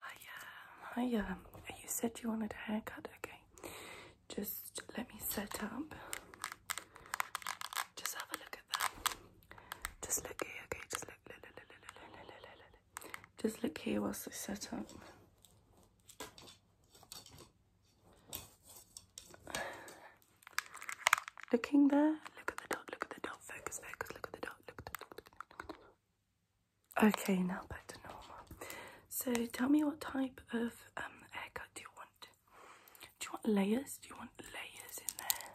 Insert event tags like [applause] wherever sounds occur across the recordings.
Hi, um, uh, you said you wanted a haircut, okay? Just let me set up. Just have a look at that. Just look here, okay? Just look, look, look, look, look, look, look, look, look. Just look here whilst I set up. Looking there, look at the dog. look at the dog. focus, focus, look at the dog. look at the dot, Okay, now back to normal. So tell me what type of um, haircut do you want? Do you want layers? Do you want layers in there?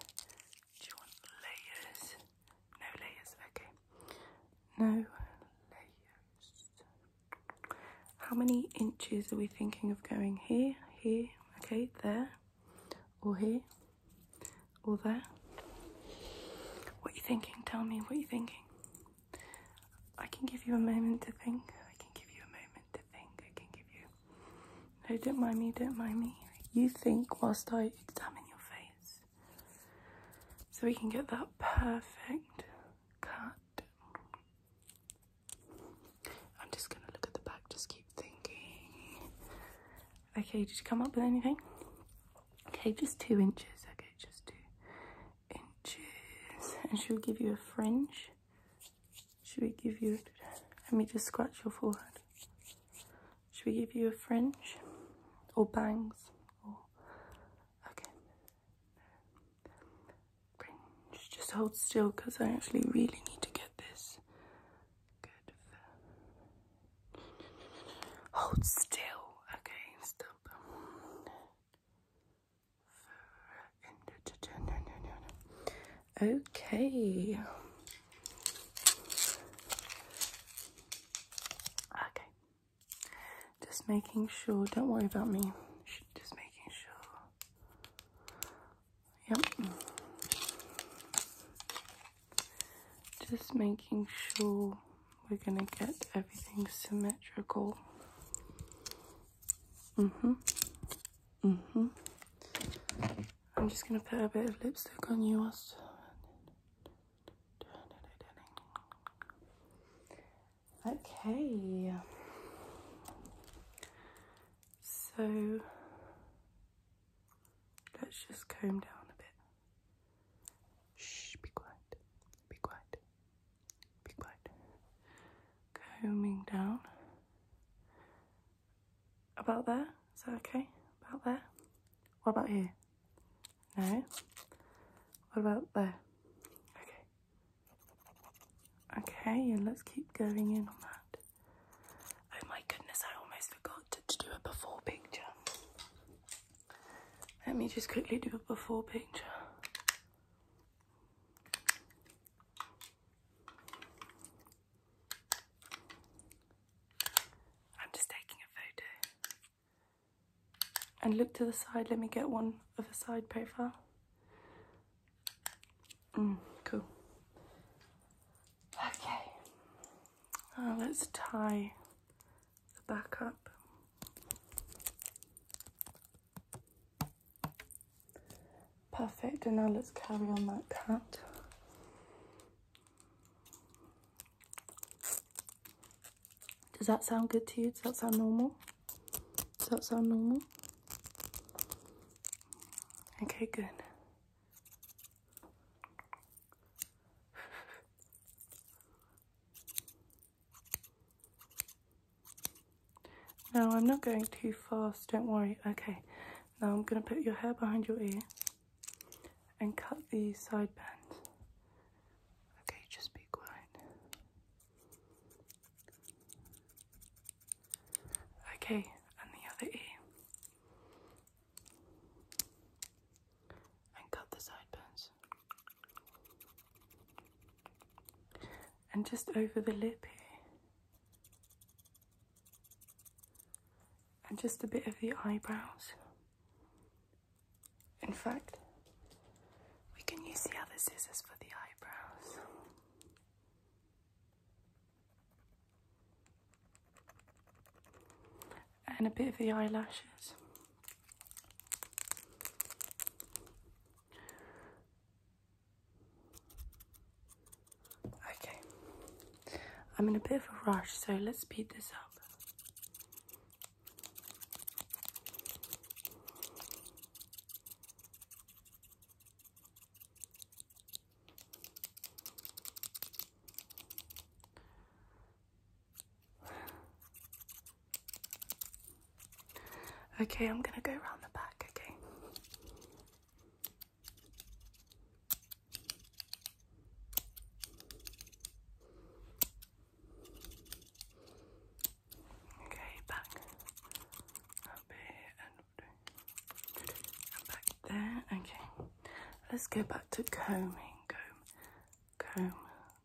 Do you want layers? No layers, okay. No layers. How many inches are we thinking of going here, here, okay, there, or here? all there? What are you thinking? Tell me, what are you thinking? I can give you a moment to think. I can give you a moment to think. I can give you. No, don't mind me, don't mind me. You think whilst I examine your face. So we can get that perfect cut. I'm just going to look at the back, just keep thinking. Okay, did you come up with anything? Okay, just two inches. Okay, just two inches. And she'll give you a fringe. Should we give you? Let me just scratch your forehead. Should we give you a fringe or bangs? Or okay, fringe. Just hold still because I actually really need to get this. Hold still. Okay, Okay. Okay. Just making sure. Don't worry about me. Just making sure. Yep just making sure we're gonna get everything symmetrical hmm hmm I'm just gonna put a bit of lipstick on you also okay so let's just comb down a bit Shh, be quiet. Be quiet. Be quiet. Combing down. About there? Is that okay? About there? What about here? No? What about there? Okay. Okay, and let's keep going in on that. Oh my goodness, I almost forgot to, to do a before picture. Let me just quickly do a before picture. I'm just taking a photo. And look to the side, let me get one of a side profile. Mm, cool. Okay. Ah, let's tie the back up. Perfect, and now let's carry on that cut. Does that sound good to you? Does that sound normal? Does that sound normal? Okay, good. Now I'm not going too fast, don't worry. Okay, now I'm going to put your hair behind your ear and cut the side bands. Okay, just be quiet. Okay, and the other ear and cut the sideburns. And just over the lip here. And just a bit of the eyebrows. In fact, we can use the other scissors for the eyebrows and a bit of the eyelashes. Okay, I'm in a bit of a rush, so let's speed this up. Okay, I'm going to go around the back, okay? Okay, back up here and, and back there. Okay, let's go back to combing, comb, comb,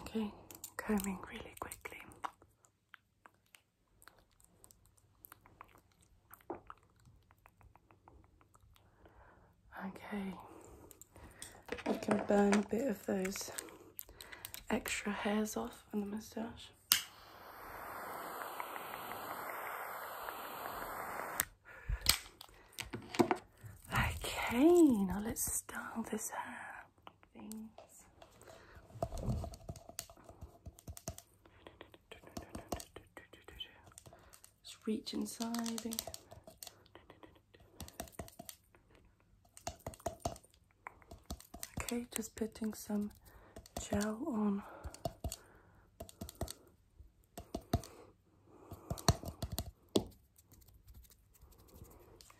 Okay, combing really quickly. Okay, we can burn a bit of those extra hairs off on the moustache. Okay, now let's style this hair. Things. Just reach inside Okay, just putting some gel on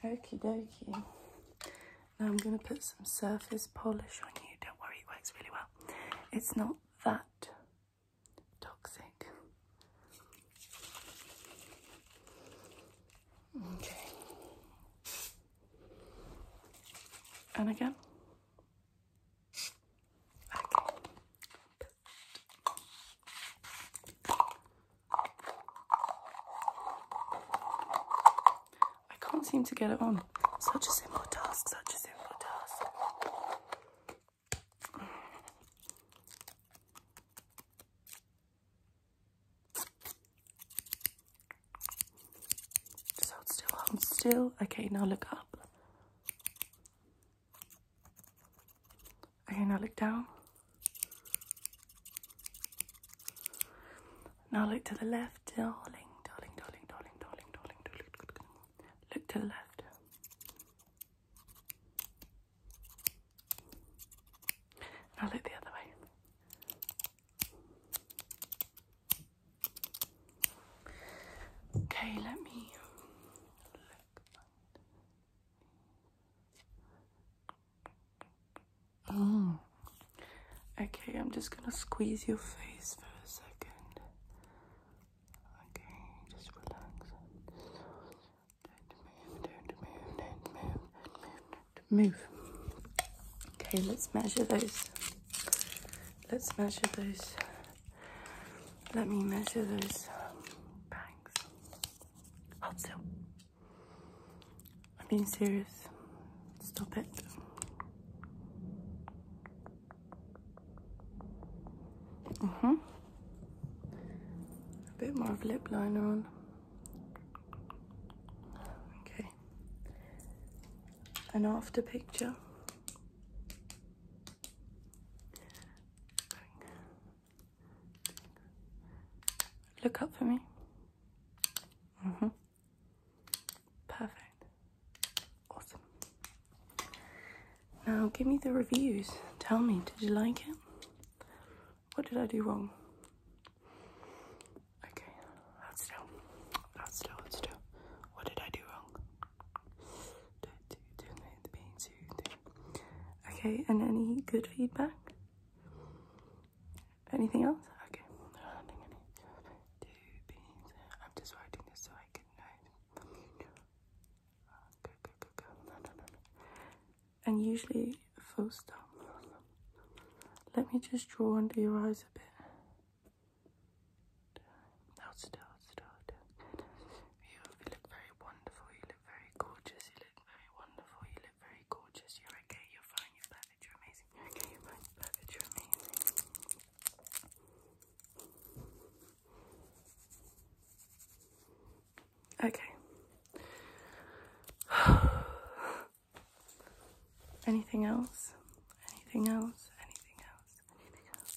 Okie dokie. Now I'm going to put some surface polish on you. Don't worry, it works really well. It's not that toxic. Okay. And again. I can't seem to get it on. Such a simple task, such a simple task. hold still, hold still. Okay, now look up. Okay, now look down. Now look to the left, darling, darling, darling, darling, darling, darling, darling. Look to the left. Now look the other way. Okay, let me Mm. Okay, I'm just gonna squeeze your face for a second. Okay, just relax. Don't move, don't move, don't move, move. Okay, let's measure those. Let's measure those let me measure those um, bangs. Hold still. I'm being serious. Stop it. Mm hmm A bit more of lip liner on. Okay. An after picture. Look up for me. Mm hmm Perfect. Awesome. Now give me the reviews. Tell me, did you like it? What did I do wrong? Okay, hold still. Hold still, hold still. What did I do wrong? Okay, and any good feedback? Anything else? Okay. I'm just writing this so I can know. Go, go, go, go. And usually full stop. Let me just draw under your eyes a bit. Now still, still, You look very wonderful. You look very gorgeous. You look very wonderful. You look very gorgeous. You're okay. You're fine. You're perfect. You're amazing. okay. You're fine. perfect. You're amazing. Okay. [sighs] Anything else? Anything else? Anything else? Anything else?